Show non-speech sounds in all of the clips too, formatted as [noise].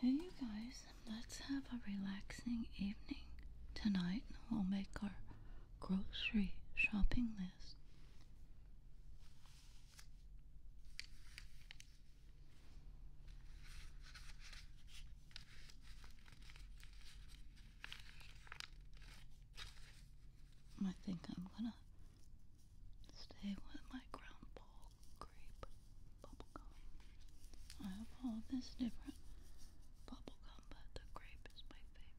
Hey, guys, let's have a relaxing evening. Tonight, we'll make our grocery shopping list. I think I'm gonna stay with my ground ball grape bubblegum. I have all this different bubblegum, but the grape is my favorite.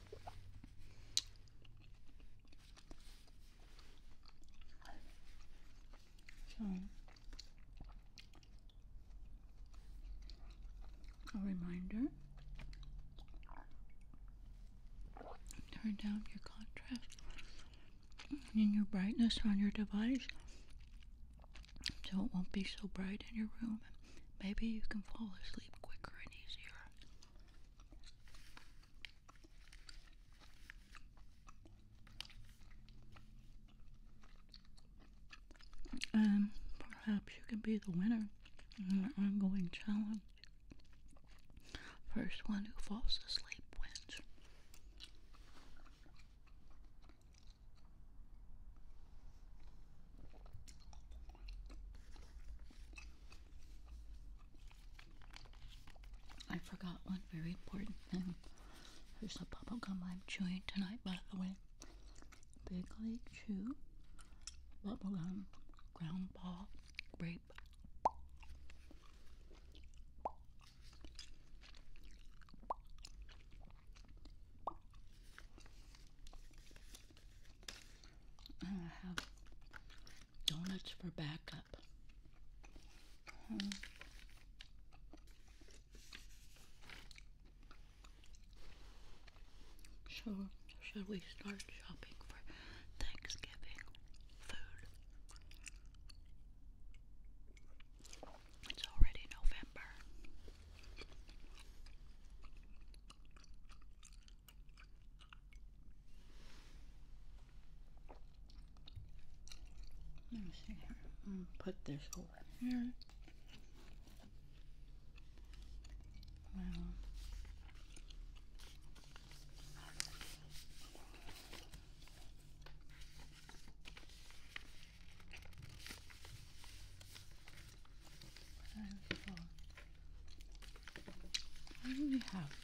So a reminder turn down your contrast and your brightness on your device so it won't be so bright in your room. Maybe you can fall asleep quicker and easier. And um, perhaps you can be the winner in our ongoing challenge. First one who falls asleep wins. I forgot one very important thing. There's a bubble gum I'm chewing tonight, by the way. Big League Chew, bubble gum, ground ball, grape. I have donuts for backup. Hmm. So, should we start shopping for Thanksgiving food? It's already November. Let me see here. put this over here. Well, what do we have?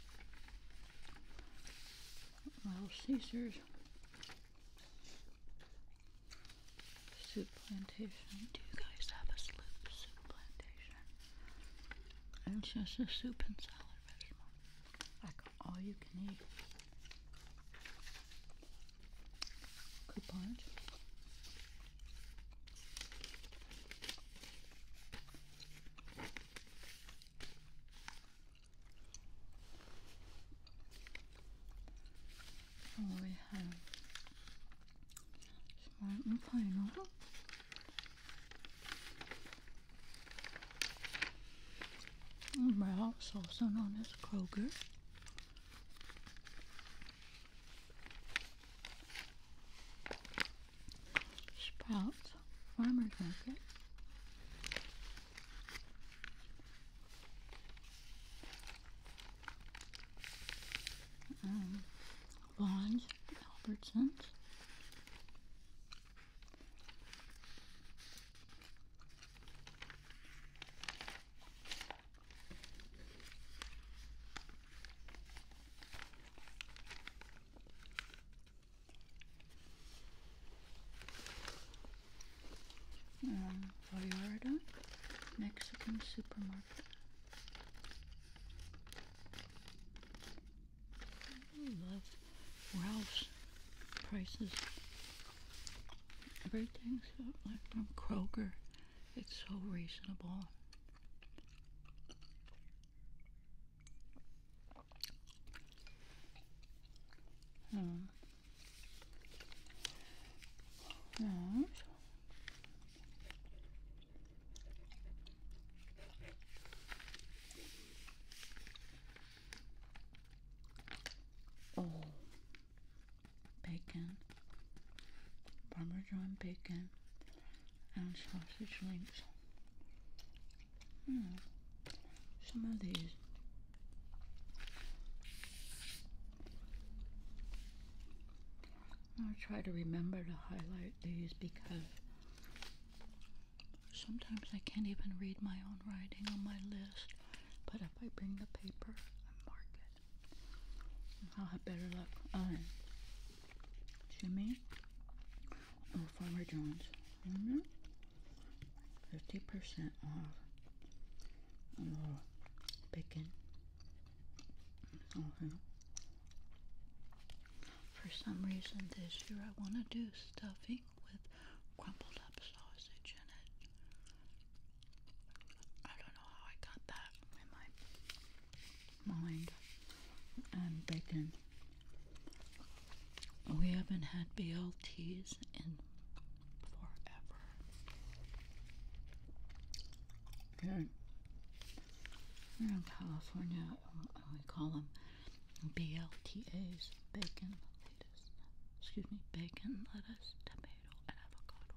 Little oh, Caesars. Soup plantation. Do you guys have a soup, plantation? just a soup and salad restaurant. Like all you can eat. Coupons we have smart and final. Ralph's also known as Kroger. Sprouts Farmer's Market. Um, Vaughn's, um, Mexican supermarket. I love Ralph's prices. Everything's like from Kroger it's so reasonable. Hmm. Right. Oh, bacon, Parmesan bacon, and sausage links. Hmm. Some of these I'll try to remember to highlight these because sometimes I can't even read my own writing on my list, but if I bring the paper, I mark it. I'll have better luck. Jimmy or oh, Farmer Jones, 50% mm-hmm. off bacon. Uh-huh. For some reason this year I want to do stuffing with crumbled up sausage in it. I don't know how I got that in my mind and bacon. We haven't had BLTs in forever. Here, here in California, uh, we call them BLTAs, bacon lettuce. Excuse me, bacon, lettuce, tomato, and avocado.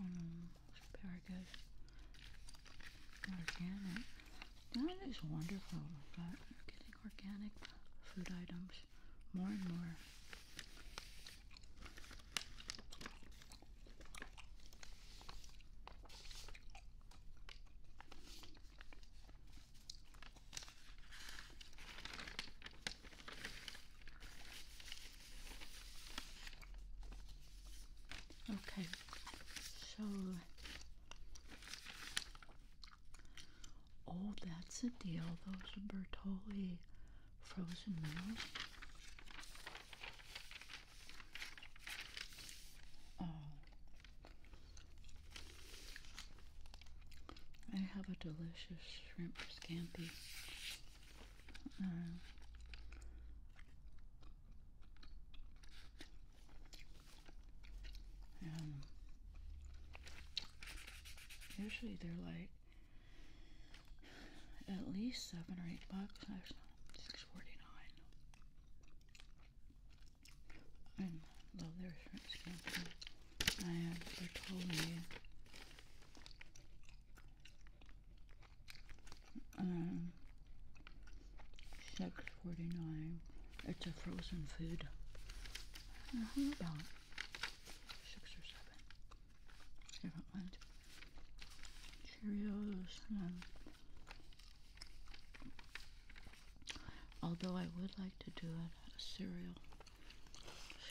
Mm, very good. Organic. That is wonderful that you're getting organic food items more and more. Okay, so oh, that's a deal. Those Bertoli frozen now. Oh, I have a delicious shrimp scampi. Uh, um, usually they're like at least seven or eight bucks. Actually, six forty nine. And love their shrimp scampi. And they totally um six forty nine. It's a frozen food. Mm-hmm. about six or seven? different ones. Cheerios. although I would like to do a, cereal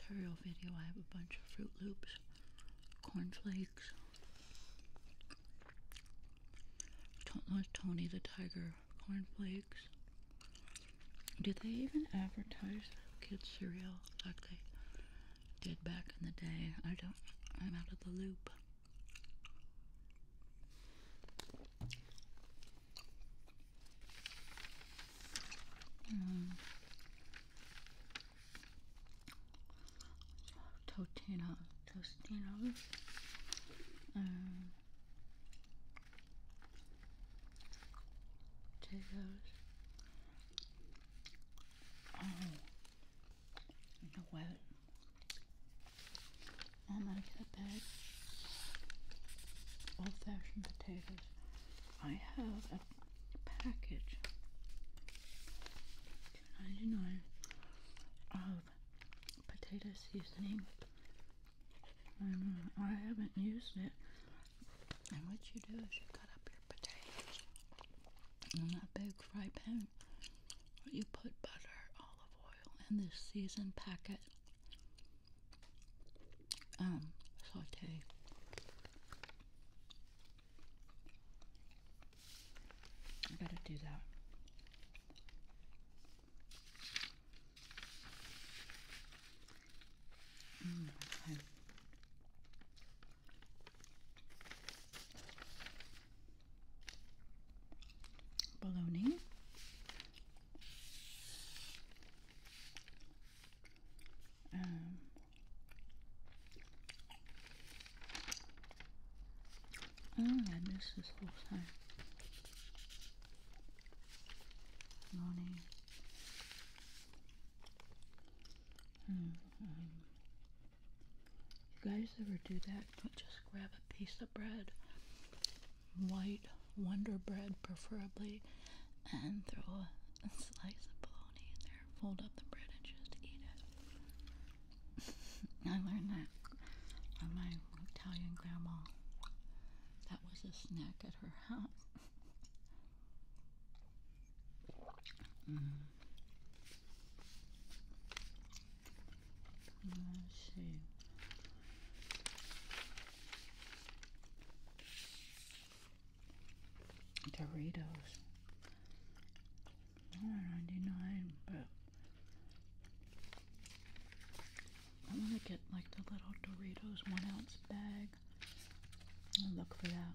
cereal video, I have a bunch of Fruit Loops, Corn Flakes. Tony the Tiger Corn Flakes. Do they even advertise kids cereal like they did back in the day. I don't, I'm out of the loop. Mm. Totino, Tostinos. Um, I'm gonna get a bag old fashioned potatoes. I have a package, 2 of potato seasoning. Uh, I haven't used it. And what you do is you cut up potatoes in that big fry pan. You put butter, olive oil, and this season packet um, saute. I do that. Mm, bologna um, I do missed this whole time bologna Mm You guys ever do that? Just grab a piece of bread, white Wonder Bread preferably, and throw a slice of bologna in there. Fold up the bread and just eat it. [laughs] I learned that from my Italian grandma. That was a snack at her house. [laughs] Hmm. Doritos. $1.99, but I want to get like the little Doritos one ounce bag. and look for that.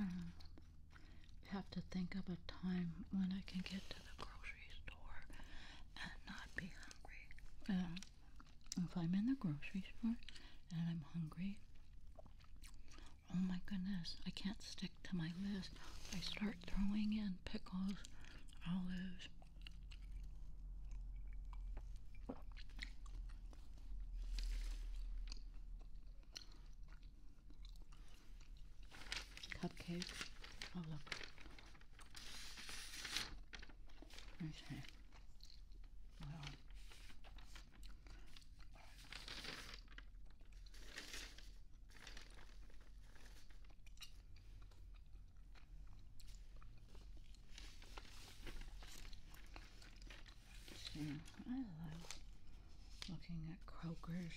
Mm. Have to think of a time when I can get to the grocery store and not be hungry. Uh, if I'm in the grocery store and I'm hungry, oh my goodness, I can't stick to my list. I start throwing in pickles, olives. Cupcakes. Oh look. Okay. See, I love looking at croakers.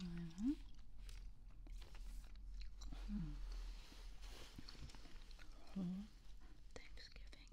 Mm-hmm. Hmm. Thanksgiving meal.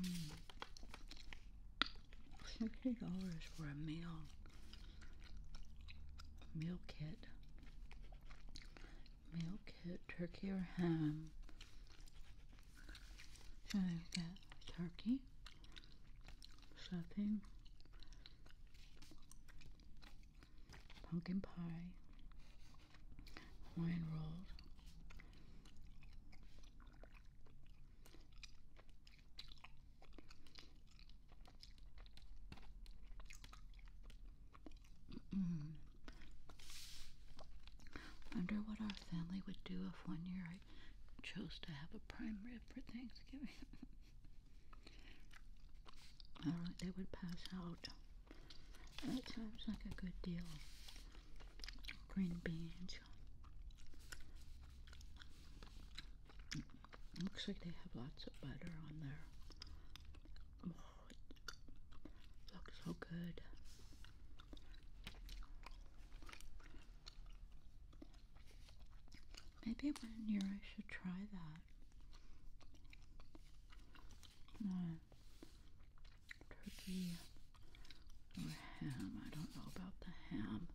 Mm. dollars for a meal meal kit meal turkey or ham. So they got turkey, stuffing, pumpkin pie, wine rolls, Mm. Wonder what our family would do if one year I chose to have a prime rib for Thanksgiving. [laughs] I don't, they would pass out. That sounds like a good deal. Green beans. Looks like they have lots of butter on there. Oh, it looks so good. Maybe one year I should try that. turkey or ham. I don't know about the ham.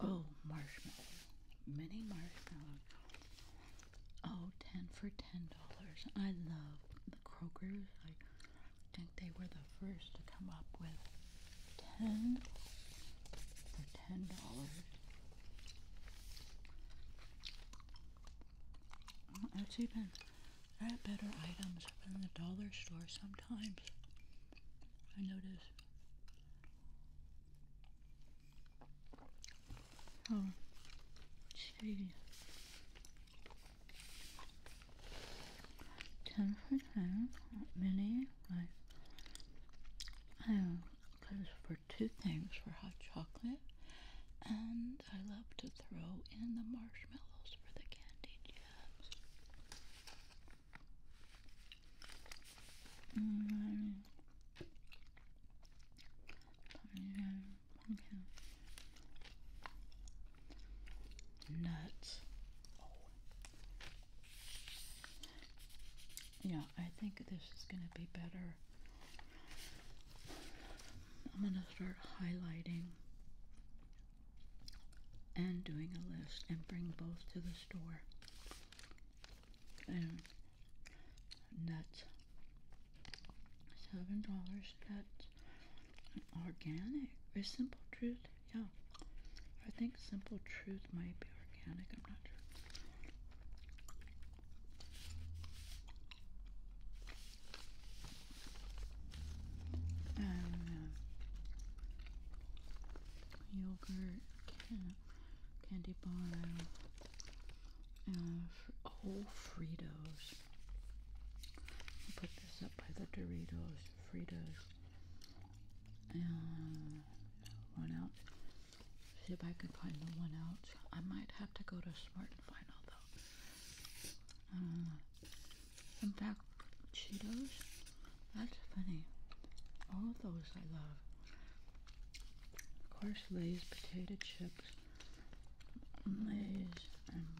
Oh, marshmallow. Mini marshmallows. Oh, ten for $10. I love the Kroger's. I think they were the first to come up with 10 for $10. It's even, there better items up in the dollar store sometimes. I notice oh see ten for ten not many like I goes for two things for hot chocolate and I love to throw in the marshmallows for the candy jams. 嗯，讨厌 mm, nuts. Oh. Yeah, I think this is gonna be better. I'm gonna start highlighting and doing a list and bring both to the store. And nuts. Seven dollars nuts. Organic. Very Simple Truth? Yeah. I think Simple Truth might be organic. I'm not sure. Um, yogurt, candy bar, uh, Fritos. put this up by the Doritos, Fritos, and one out. See if I can find the one out. I might have to go to Smart and find all in fact, Cheetos, that's funny. All of those I love. Of course, Lay's potato chips, Lay's and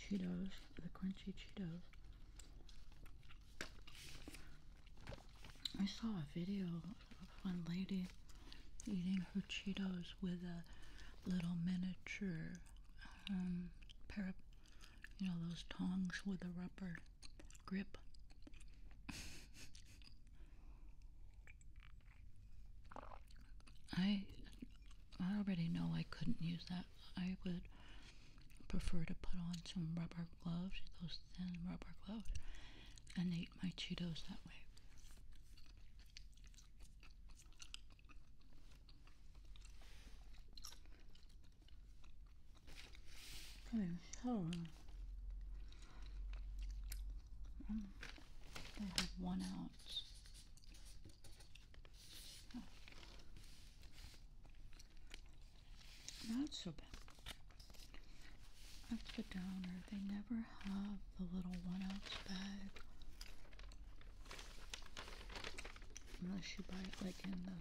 Cheetos, the crunchy Cheetos. I saw a video of one lady eating her Cheetos with a little miniature um, pair of you know, those tongs with a rubber grip. I I already know I couldn't use that. I would prefer to put on some rubber gloves, those thin rubber gloves, and eat my Cheetos that way. Okay, so they have one ounce. Oh. Not so bad. That's the downer. They never have the little one ounce bag. Unless you buy it like in the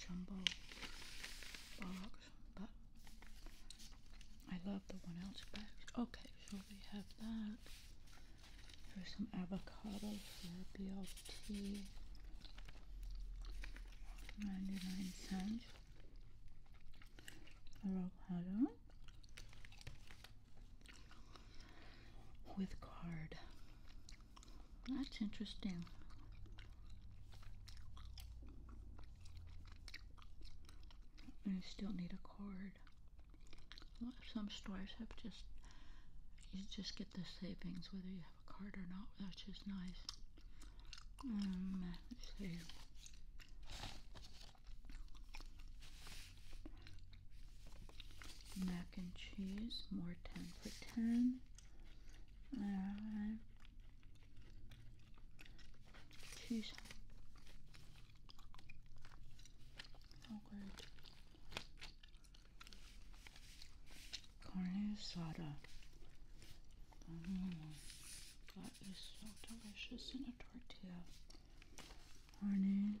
jumbo box, but I love the one ounce bags. Okay, so we have that. Here's some avocado for BLT, 99 cents. Avocado with card. That's interesting. I still need a card. Some stores have just, you just get the savings whether you have a card or not, That's just nice. Um, Mac and cheese, more 10 for 10. Alright. Oh, Carne asada. Mm, that is so delicious in a tortilla. Honey,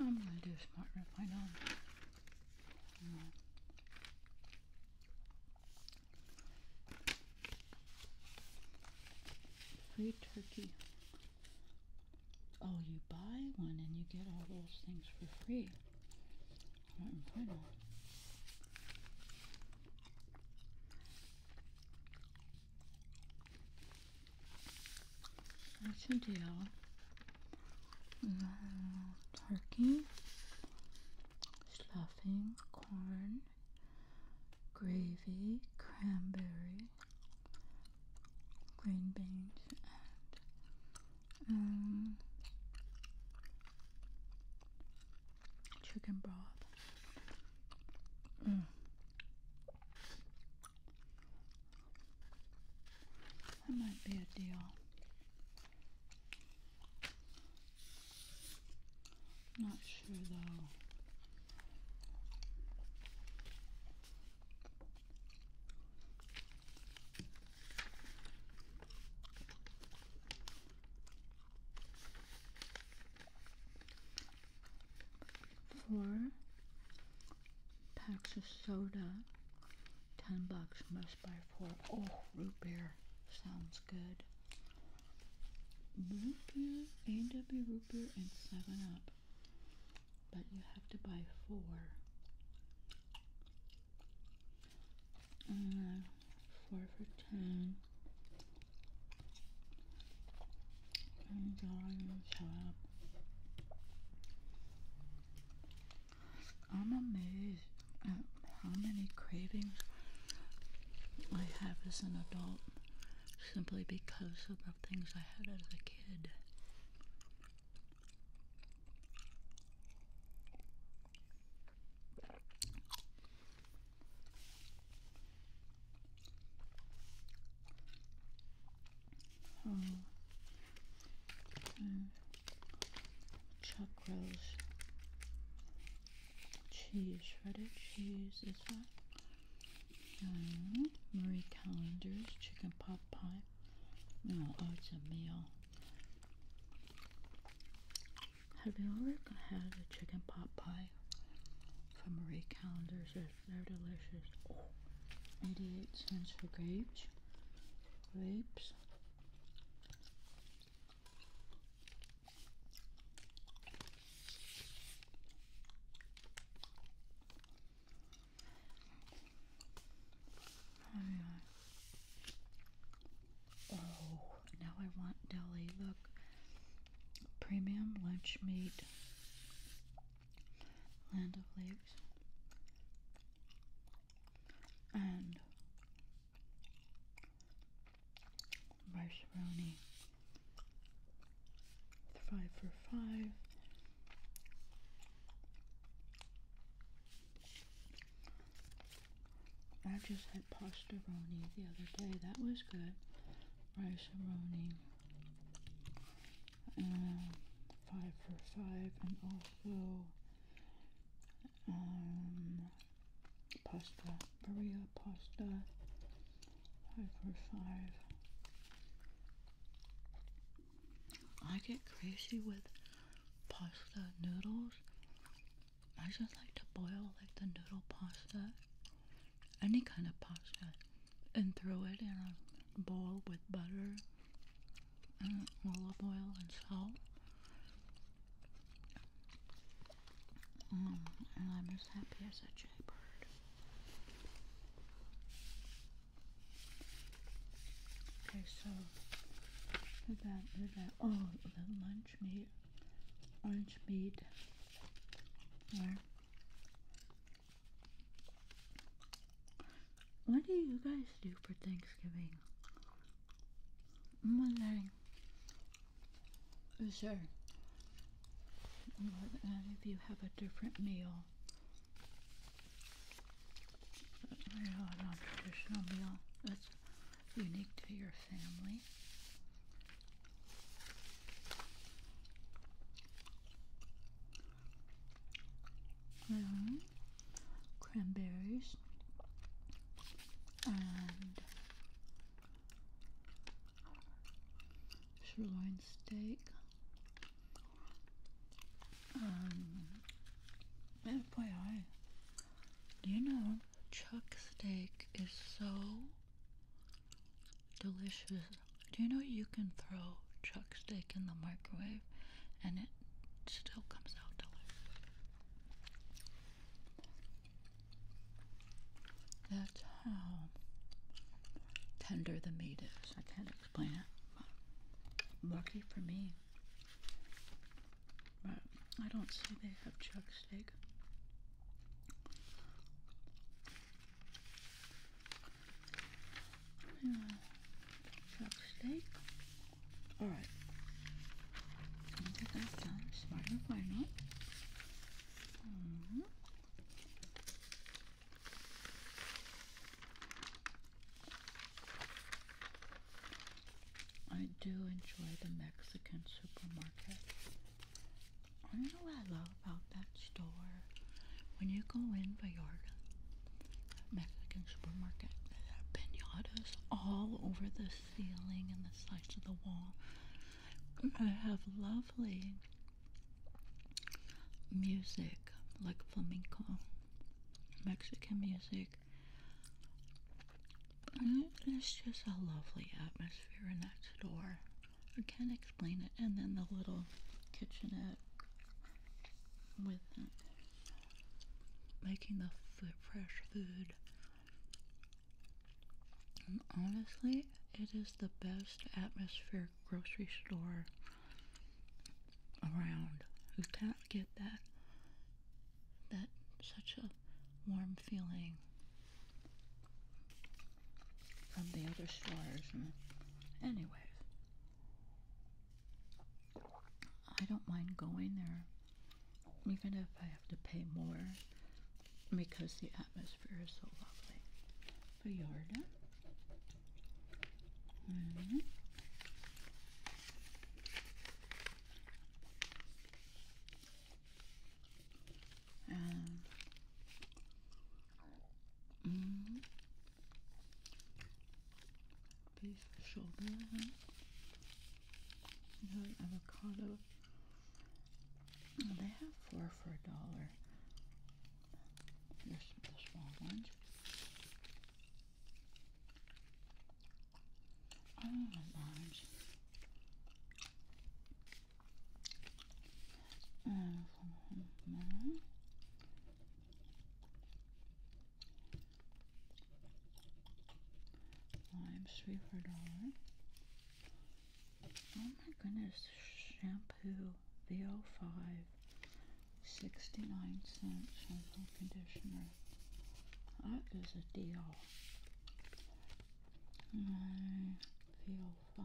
I'm gonna do a smart rip, I know. Free turkey. Oh, you buy one and you get all those things for free. I should do turkey, stuffing, corn, gravy, cranberry, green beans, and um, chicken broth. Mm. That might be a deal. Not sure though. Four packs of soda 10 bucks must buy four. Oh, root beer sounds good. Root beer, A&W root beer, and 7 Up. But you have to buy four. Uh, four for 10. I'm going up. I'm amazed at how many cravings I have as an adult simply because of the things I had as a kid. Oh. Mm. Cheese, shredded cheese, this one. Um, Marie Callender's chicken pot pie. No, oh, it's a meal. Have you ever had a chicken pot pie from Marie Callender's? They're delicious. 88 cents for grapes grapes. Oh, now I want deli. Look, premium lunch meat, land of lakes and macaroni five for five I just had pasta roni the other day that was good rice roni five for five and also um, pasta, Berea pasta, five for oh five. I get crazy with pasta noodles. I just like to boil like the noodle pasta, any kind of pasta, and throw it in a bowl with butter and mm, olive oil and salt. Mm, and I'm as happy as a jaybird. Okay, so we that we that oh the lunch meat, lunch meat. What do you guys do for Thanksgiving? I'm wondering, is if you have a different meal, a non-traditional meal that's unique to your family? -hmm cranberries and sirloin steak um FYI do you know chuck steak is so delicious do you know you can throw chuck steak in the microwave and it still comes out to That's how tender the meat is. I can't explain it. lucky for me. But I don't see they have chuck steak. Chuck steak. Alright. I'll get -hmm. I do enjoy the Mexican supermarket. I you know what I love about that store? When you go in Vallarta, Mexican supermarket. They had pinatas all over the ceiling and the sides of the wall. I have lovely music, like flamenco, Mexican music. And it's just a lovely atmosphere in that store. I can't explain it. And then the little kitchenette with making the food, fresh food. And honestly, it is the best atmosphere grocery store around. You can't get that that such a warm feeling from the other stores. Anyway. I don't mind going there, even if I have to pay more, because the atmosphere is so lovely. Vallarta. Mm mm-hmm. And mm-hmm beef shoulder huh? avocado they have four for a dollar here's the small ones I oh, don't Limes three for dollar. Oh my goodness, shampoo VO5, 69 cent shampoo conditioner. That is a deal. My VO5.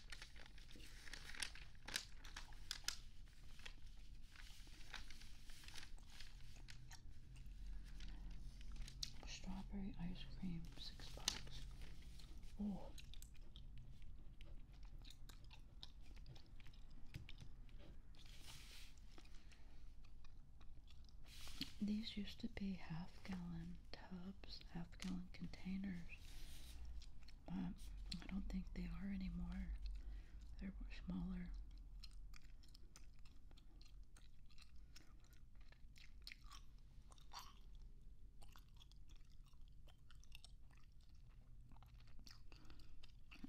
Strawberry ice cream, six bucks. Oh. These used to be half gallon tubs, half gallon containers but I don't think they are anymore. They're smaller.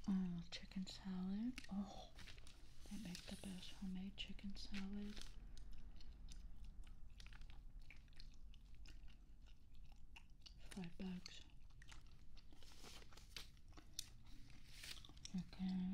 Oh, chicken salad. Oh, they make the best homemade chicken salad five bucks. Okay. Halid.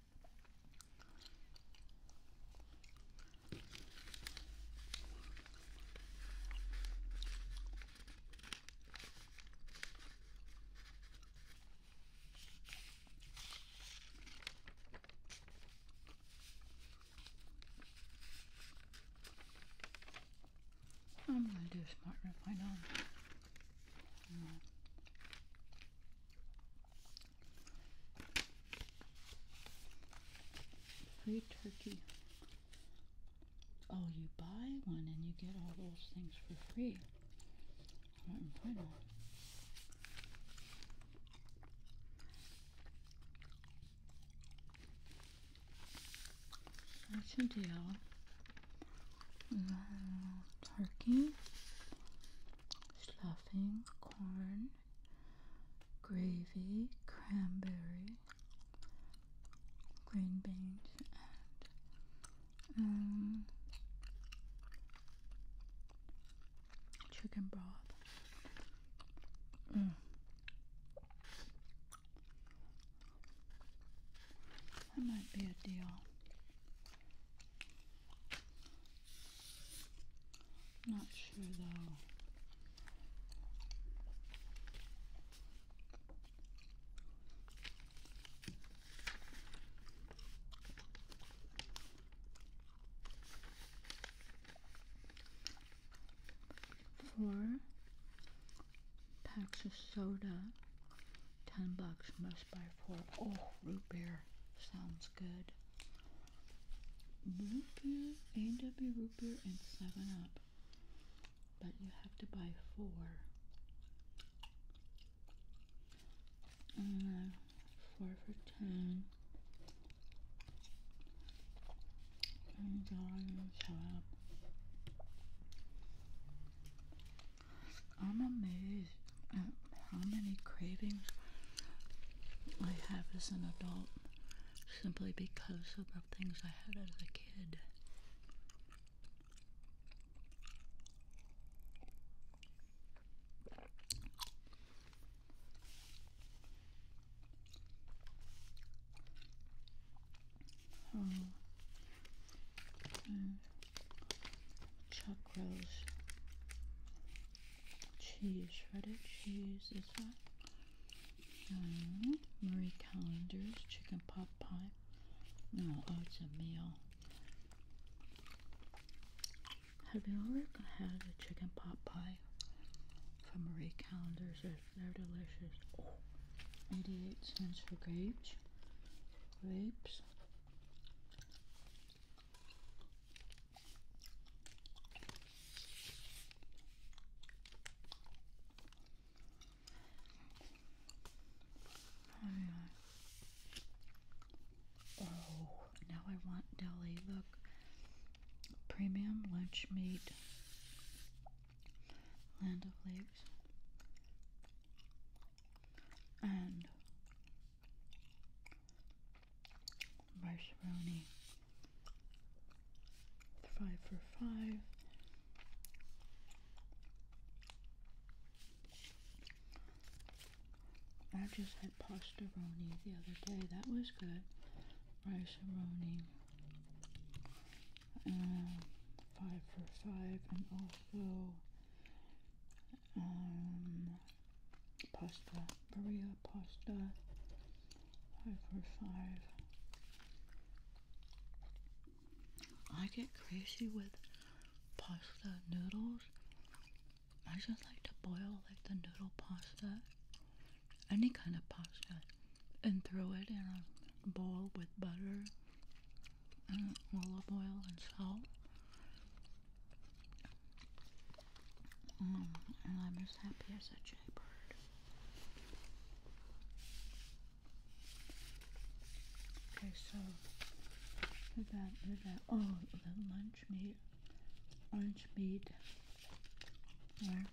I'm gonna do a smart rip, I know. Free turkey. Oh, you buy one and you get all those things for free. Right in front deal. turkey, stuffing, corn, gravy, cranberry, green beans, and um, chicken broth. Mm. That might be a deal. Not sure though. Four packs of soda, ten bucks must buy four. Oh, root beer sounds good root beer, A&W and 7-Up. But you have to buy four. Uh, four for ten. I'm amazed how many cravings I have as an adult simply because of the things I had as a kid. Oh, hmm. mm. chuck cheese, shredded cheese is that? Um, Marie Callender's chicken pot pie. No, oh, it's a meal. Have you ever had a chicken pot pie from Marie Callender's? They're, delicious. 88 cents for grapes. Grapes. Oh, now I want deli. Look, premium lunch meat, land of lakes, and Marshroni. Five for five. I just had pasta roni the other day. That was good. Riceroni. Um, five for five. And also um, pasta, Maria pasta, five for five. I get crazy with pasta noodles. I just like to boil like the noodle pasta, any kind of pasta, and throw it in a bowl with butter and olive oil and salt. Mm, and I'm as happy as a jaybird. Okay, so we got we got oh the lunch meat, lunch meat there.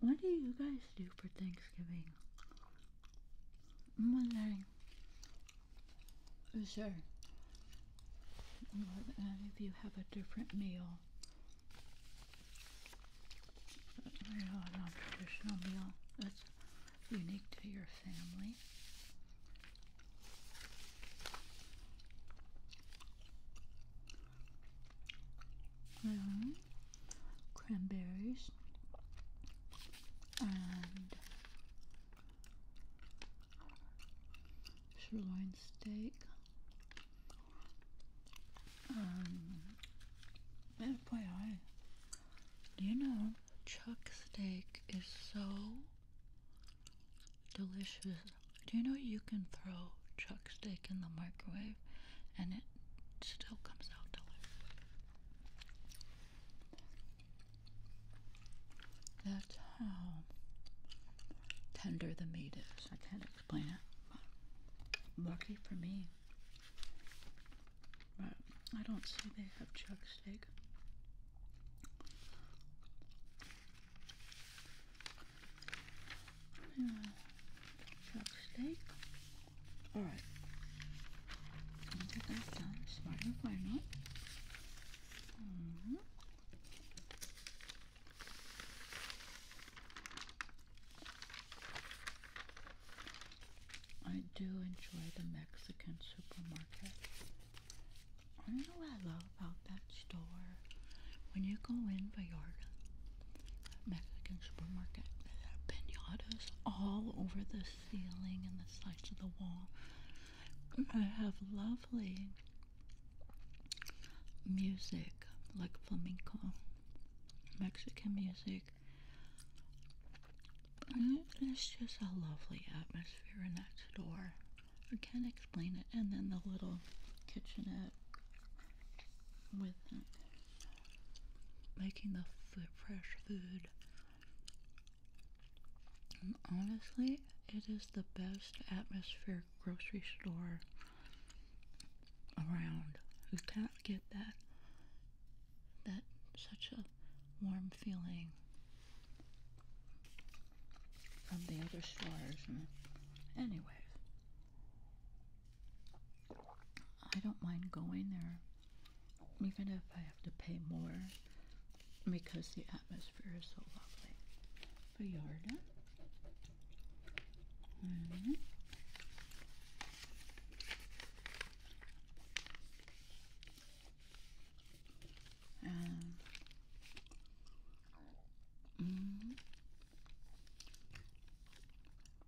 What do you guys do for Thanksgiving? i is there, if you have a different meal, a non-traditional meal that's unique to your family, mm-hmm. cranberries and sirloin steak. Um, FYI, do you know chuck steak is so delicious? Do you know you can throw chuck steak in the microwave and it still comes out delicious? That's how tender the meat is. I can't explain it. lucky for me. But I don't see they have chuck steak. chuck steak. Alright. I'll get that done. Smart Mm-hmm. I do enjoy the Mexican supermarket. I don't know what I love about that store. When you go in Vallarta, Mexican supermarket, there are pinatas all over the ceiling and the sides of the wall. I have lovely music like flamenco, Mexican music. And it's just a lovely atmosphere in that store. I can't explain it. And then the little kitchenette with uh, making the fresh food honestly, it is the best atmosphere grocery store around. You can't get that that such a warm feeling from the other stores. Anyway, I don't mind going there, even if I have to pay more because the atmosphere is so lovely. Bayarda. Mm-hmm. And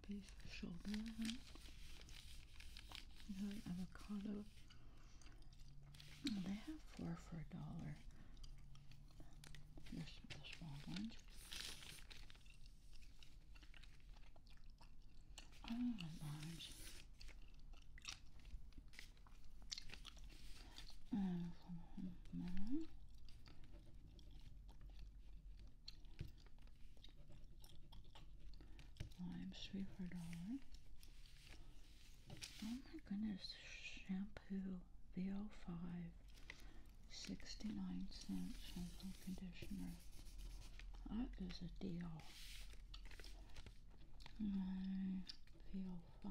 beef shoulder, and avocado, they have four for a dollar. Here's the small ones. Oh my gosh. Uh, three for a dollar. Oh my goodness, shampoo, VO5, 69 cent shampoo conditioner. That is a deal. My uh, VO5.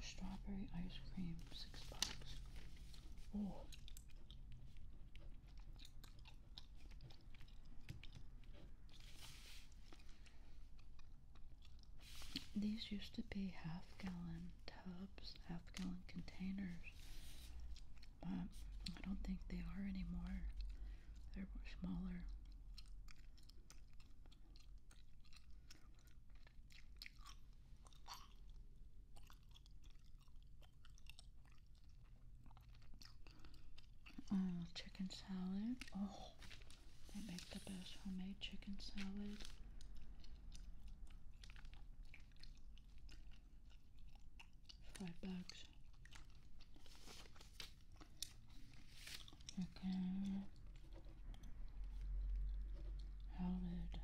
Strawberry ice cream, six bucks. Oh. These used to be half gallon tubs, half gallon containers, but I don't think they are anymore. They're smaller. Uh, chicken salad. Oh, they make the best homemade chicken salad. Fried bugs. Okay. How did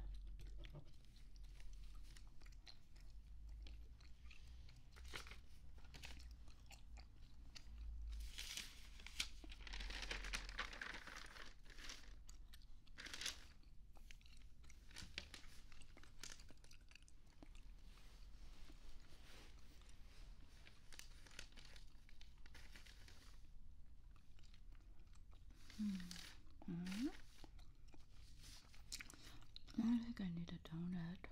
-hmm. Mm. I think I need a donut.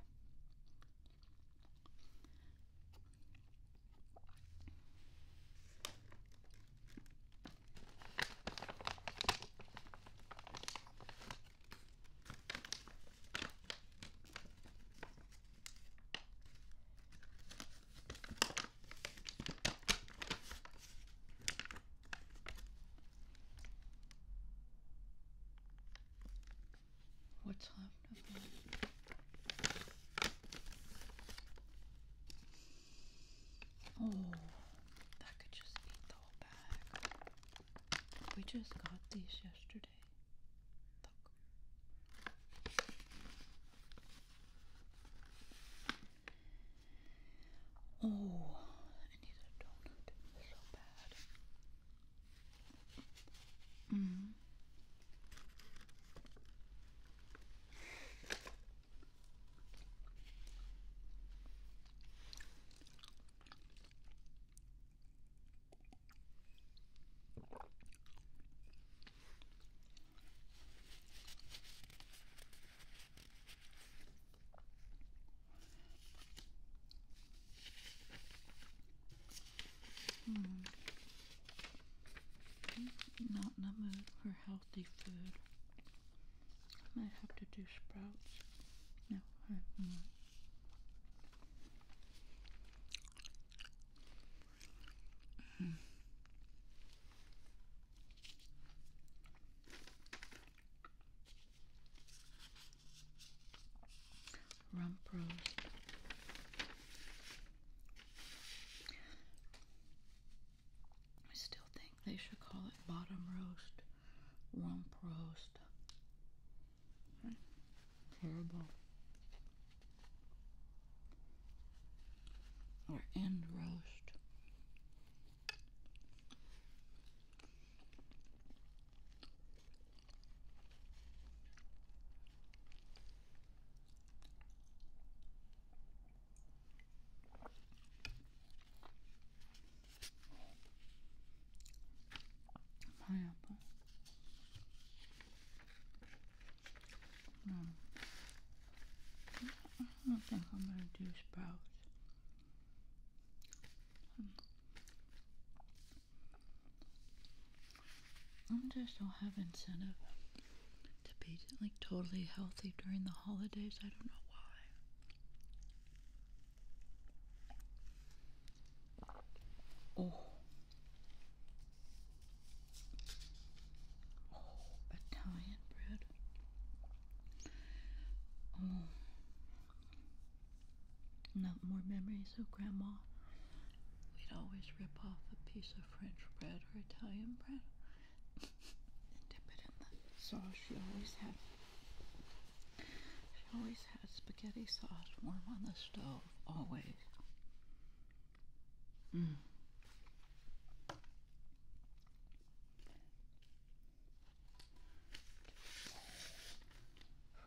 What's left of me? Oh, that could just eat the whole bag. We just got these yesterday. Oh, I need a donut so bad. Mm. Mm. Not in the mood for healthy food. I might have to do sprouts. No, Mm. Rump roast. I still think they should call it bottom roast, rump roast. Hmm. Terrible or end roast. Pineapple. Hmm. I don't think I'm gonna do sprouts. Hmm. I just don't have incentive to be like totally healthy during the holidays. I don't know why. Oh. Oh, Italian bread. Oh, not more memories of Grandma. We'd always rip off a piece of French bread or Italian bread [laughs] and dip it in the sauce she always had. She always had spaghetti sauce warm on the stove, always. Mm.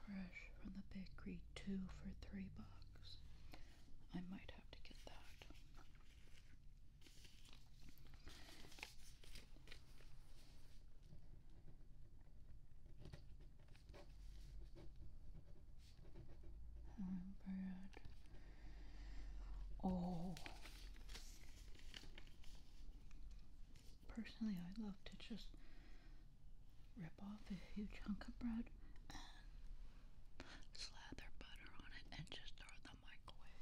Fresh from the bakery, two for three bucks. I might have to get that. Hybrid. Oh, oh. Personally, I love to just rip off a huge chunk of bread and slather butter on it and just throw it in the microwave.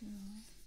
Barbecue.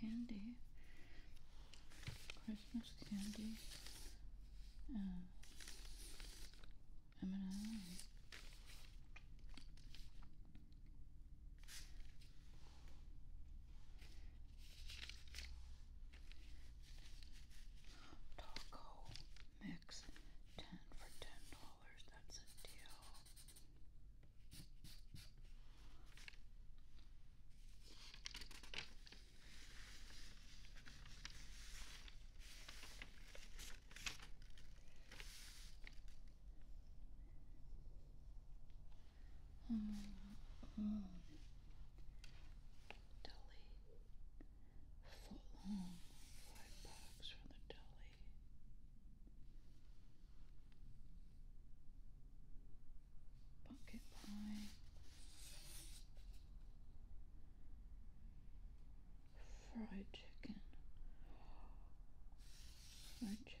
candy, Christmas candy, M&M, Taco mix ten for ten dollars. That's a deal deli. Foot Five bucks from the deli. Pumpkin pie. Fried chicken. Fried chicken.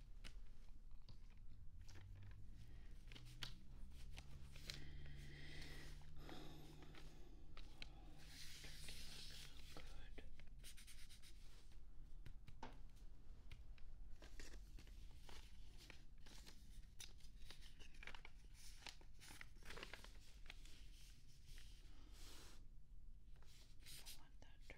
so good. I want that turkey.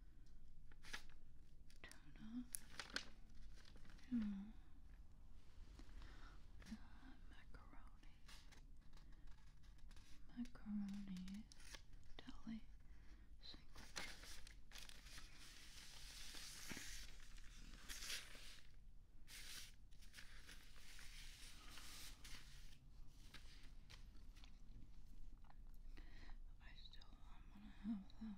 toner. Hmm. macaroni. Macaroni deli sandwich. I still do want to have that.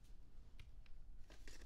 I want that turkey.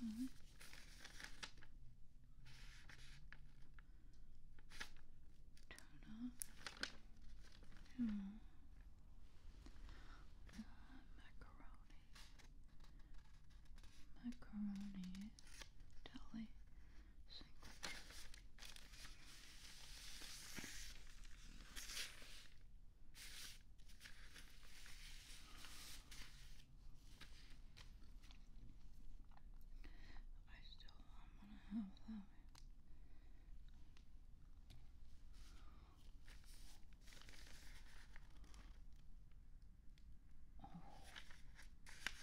Hold Hmm. macaroni. Macaroni tally signature. I still don't want to have that. Oh,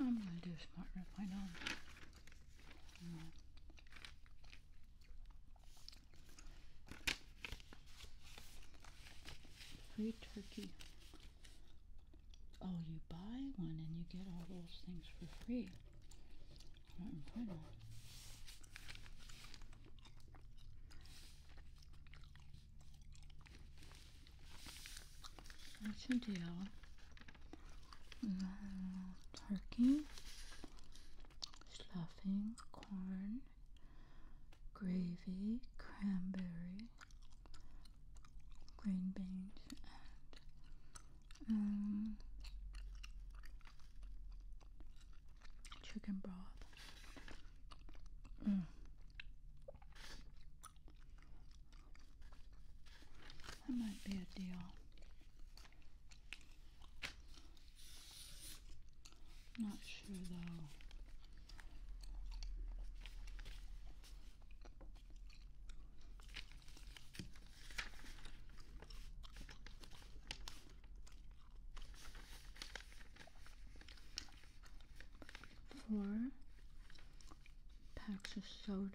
I'm gonna do a smart rip, I Free turkey. Oh, you buy one and you get all those things for free. Mm, bueno. That's a deal. Turkey, stuffing, corn, gravy, cranberry, green beans, and um, chicken broth. Mm. That might be a deal. Not sure though. Four packs of soda,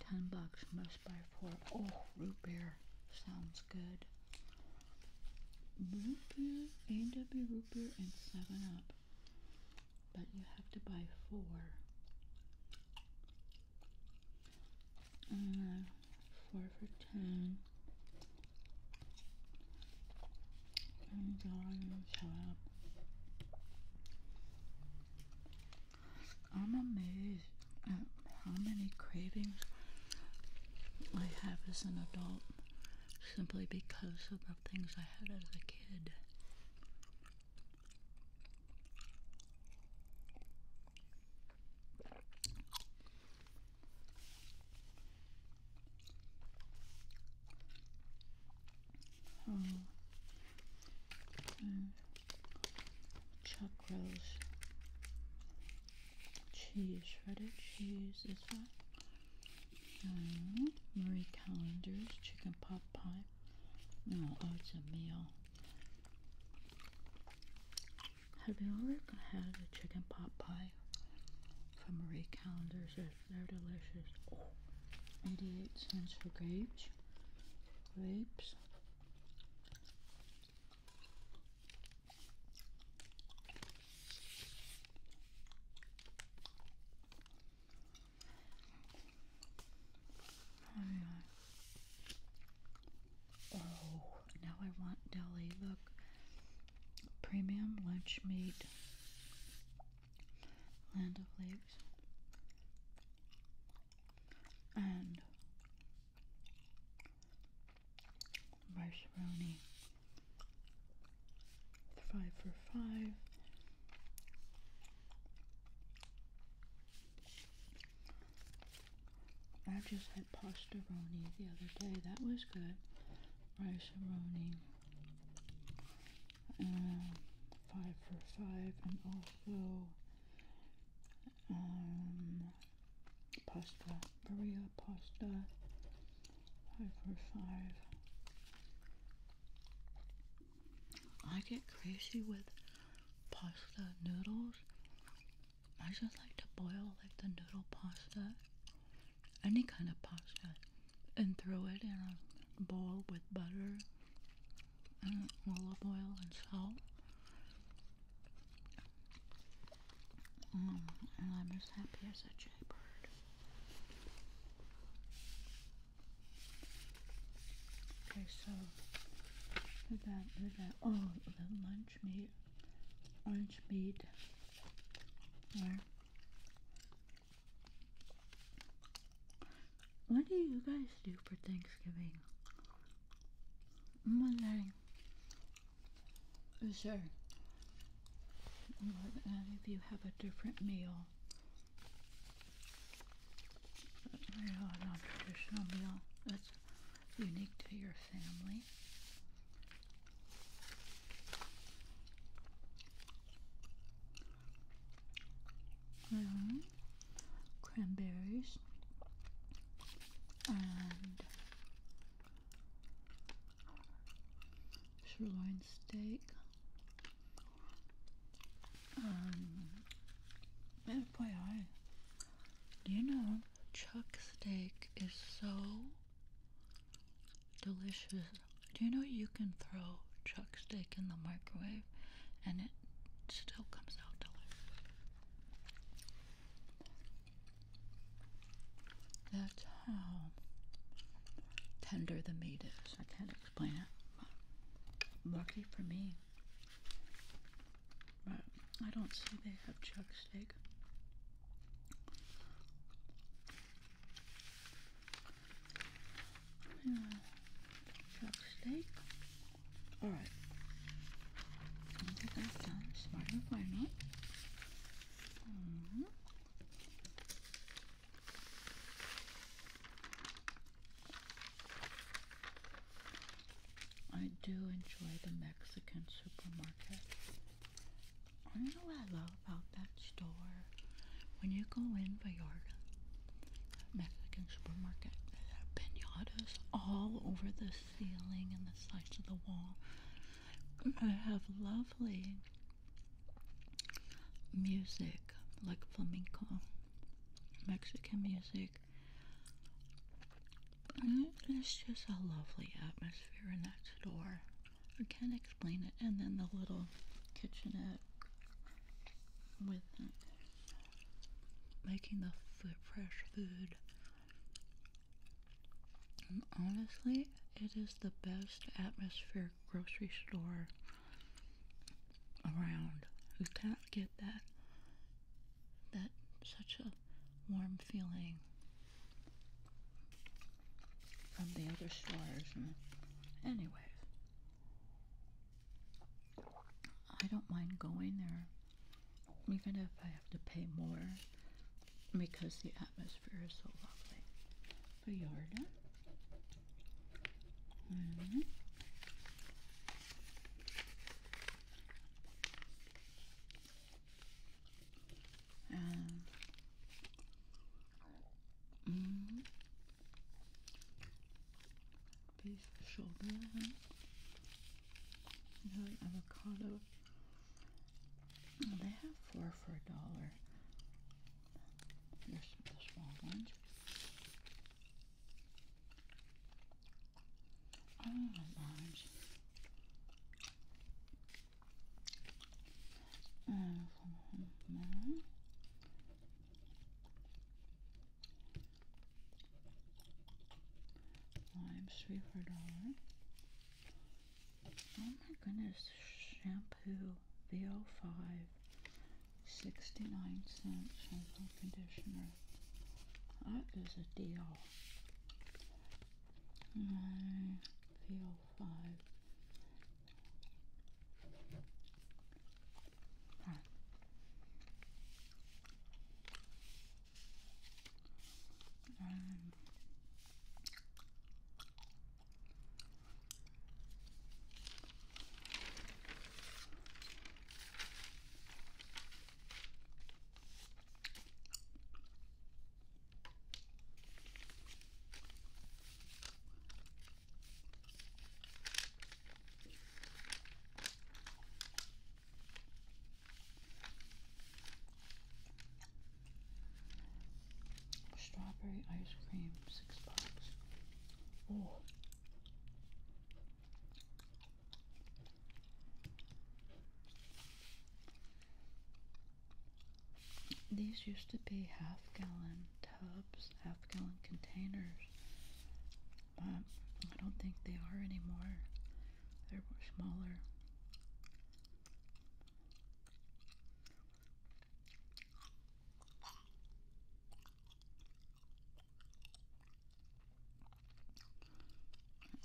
ten bucks must buy four. Oh, root beer sounds good. Root beer, A&W root beer, and Seven Up, but you have to buy four. Mm, four for ten. I'm going to shut up. I'm amazed at how many cravings I have as an adult simply because of the things I had as a kid. Oh. Mm. Chuck rolls. Cheese, shredded cheese is that? Mm. Marie Callender's chicken pot pie. No, oh, it's a meal. Have you ever had a chicken pot pie from Marie Callender's? They're delicious. 88 cents for grapes. Grapes. Oh, Oh, now I want deli. Look, premium lunch meat, land of leaves, and macaroni. Five for five. I just had pasta roni the other day. That was good. Rice-a-roni. Um, five for five. And also um, pasta. Maria pasta. Five for five. I get crazy with pasta noodles. I just like to boil like the noodle pasta, any kind of pasta, and throw it in a bowl with butter and olive oil and salt. Mm, and I'm as happy as a jaybird. Okay, so Look at look at Oh, the lunch meat. Lunch meat. What do you guys do for Thanksgiving? I'm wondering. Sure. If you have a different meal. That's know, a non-traditional meal that's unique to your family. Mm-hmm. Cranberries and sirloin steak. Um, FYI, you know, chuck steak is so delicious. Do you know you can throw chuck steak in the microwave and it still comes out delicious? That's how tender the meat is. I can't explain it. Lucky for me but I don't see they have chuck steak. chuck steak. All right. I think I've done smart and final. -hmm. I do enjoy the Mexican supermarket. You know what I love about that store? When you go in Vallarta, Mexican supermarket, there are pinatas all over the ceiling and the sides of the wall. I have lovely music, like flamenco, Mexican music, and mm, it's just a lovely atmosphere in that store. I can't explain it. And then the little kitchenette with making the fresh food. honestly, it is the best atmosphere grocery store around. You can't get that. That such a warm feeling from the other stores. And anyways, I don't mind going there, even if I have to pay more, because the atmosphere is so lovely. Bayarda. Um, mm, beef shoulder, another avocado. Oh, they have four for a dollar. Here's the small ones. Oh my gosh. Uh, Limes three for a dollar. Oh my goodness, shampoo VO5, 69 cent shampoo conditioner. That is a deal. I feel five. Ah. Um. Strawberry ice cream, six bucks. Oh, these used to be half gallon tubs, half gallon containers, but I don't think they are anymore. They're much smaller.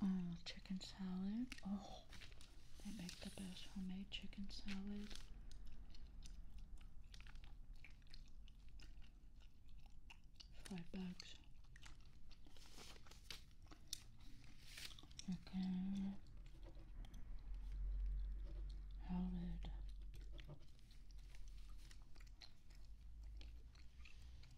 Uh, chicken salad. Oh, they make the best homemade chicken salad. Five bucks. Okay. Salad.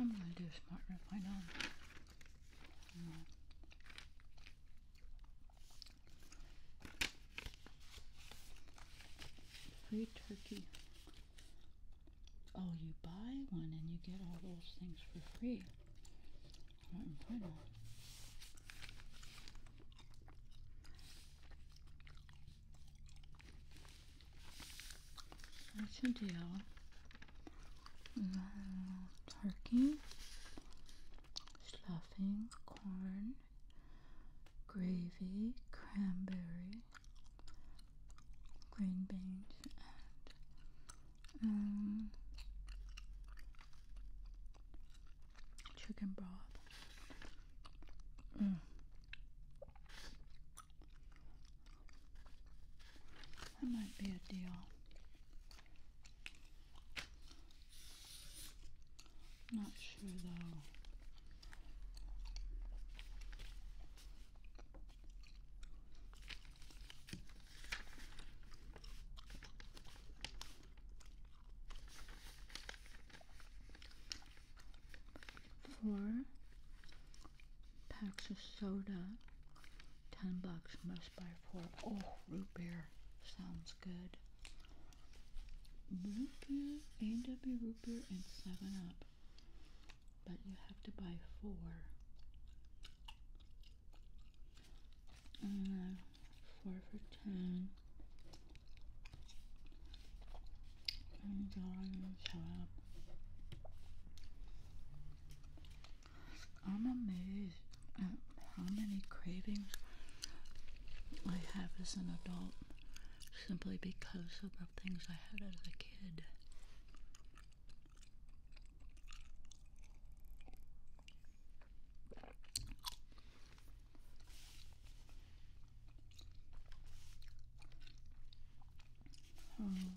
I'm gonna do a smart rip, I know. Free turkey Oh, you buy one and you get all those things for free. Not incredible. That's a deal. turkey, stuffing, corn, gravy, cranberry, green beans and um, chicken broth. Mm. That might be a deal. Not sure though. Four packs of soda, ten bucks must buy four. Oh, root beer sounds good. Root beer, A&W root beer, and Seven Up but you have to buy four uh, four for ten and darling shop I'm amazed at how many cravings I have as an adult simply because of things I had as a kid. Oh.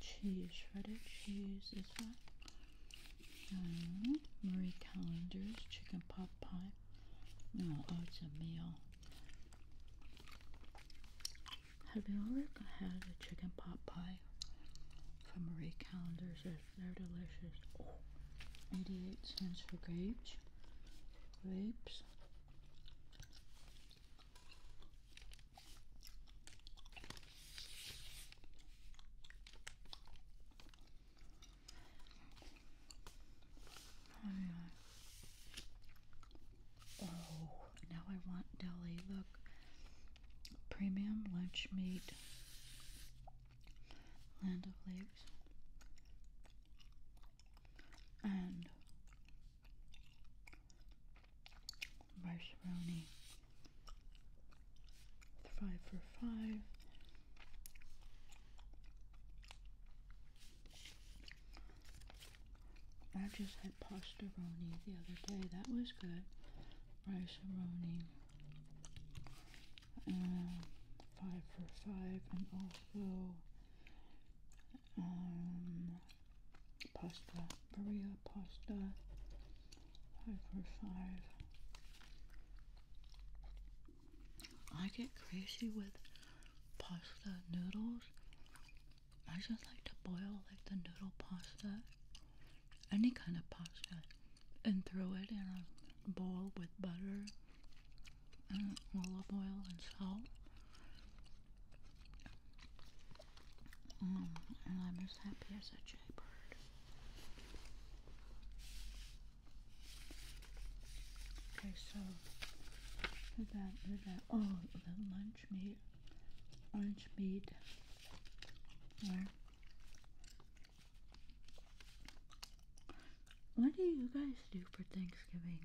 Cheese, shredded cheese, this one. Marie Callender's chicken pot pie. No, oh, it's a meal. Have you ever had a chicken pot pie from Marie Callender's? They're delicious. 88 cents for grapes. Grapes. Oh, now I want deli. Look, premium lunch meat, land of lakes, and macaroni five for five. I just had pasta pastaroni the other day. That was good. rice and roni um, five for five. And also um, pasta. Maria pasta. I get crazy with pasta noodles. I just like to boil like the noodle pasta, any kind of pasta, and throw it in a bowl with butter and olive oil and salt. Mm, and I'm as happy as a jaybird. Okay, so did that, did that. Oh, the lunch meat, lunch meat. There. What do you guys do for Thanksgiving?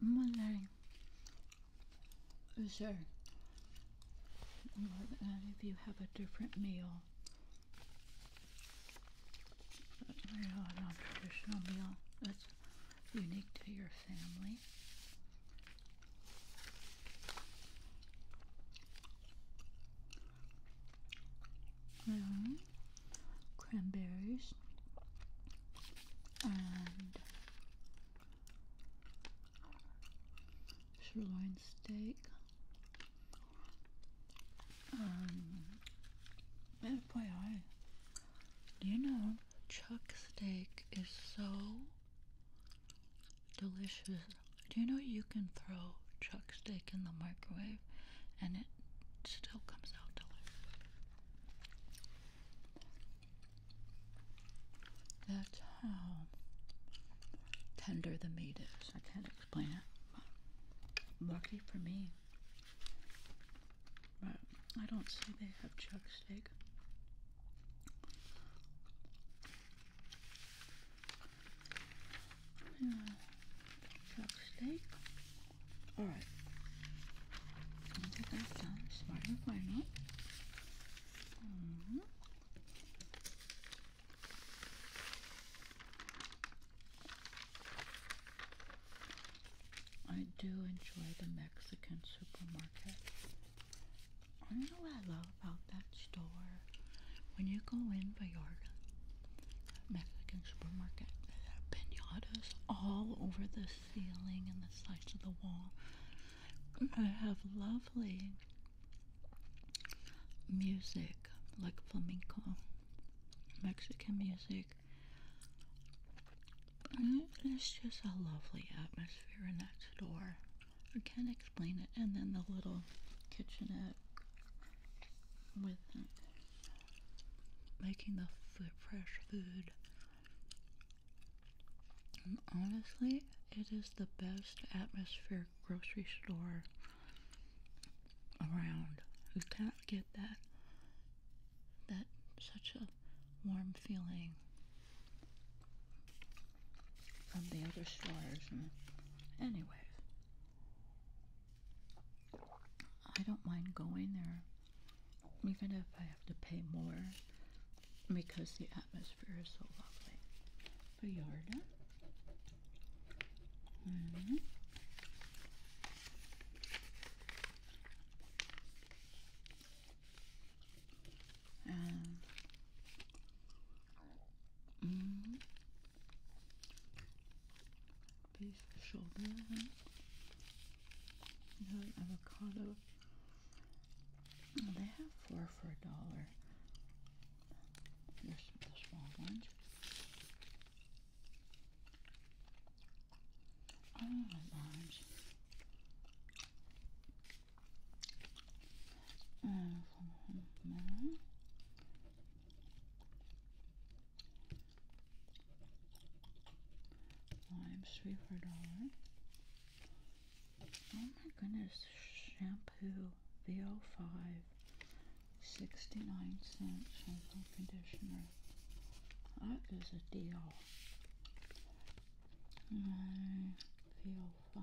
Monday. Is there if you have a different meal, a non-traditional meal that's unique to your family. Mm-hmm. cranberries and sirloin steak. Um, FYI, do you know chuck steak is so delicious? Do you know you can throw chuck steak in the microwave and it still comes out delicious? That's how tender the meat is. I can't explain it. lucky for me. But I don't see they have chuck steak. chuck steak. Alright. i that done. Smart and I do enjoy the Mexican supermarket. I know what I love about that store. When you go in Vallarta, Mexican supermarket, they have pinatas all over the ceiling and the sides of the wall. I have lovely music like flamenco, Mexican music. It's just a lovely atmosphere in that store. I can't explain it. And then the little kitchenette with making the food, fresh food. honestly, it is the best atmosphere grocery store around. You can't get that that such a warm feeling from the other stores. And anyways, I don't mind going there, even if I have to pay more, because the atmosphere is so lovely. But Mm um. Beef shoulder. You avocado. they have four for a dollar. This, small ones. Oh, I don't like orange. And three for a dollar. Oh my goodness, shampoo. VO5 69 cent the conditioner. That is a deal. My um, VO5.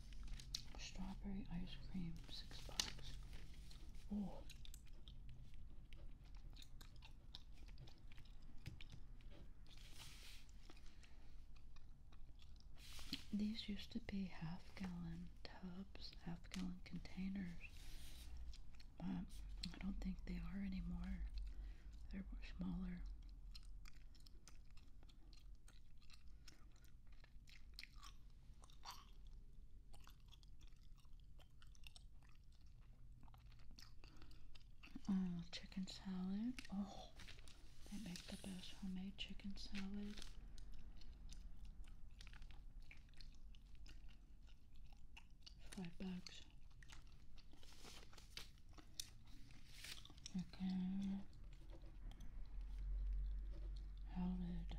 Strawberry ice cream, six bucks. Oh. These used to be half gallon tubs, half gallon containers, but I don't think they are anymore. They're smaller. Oh, chicken salad. Oh, they make the best homemade chicken salad. Five bucks. Okay. How rude.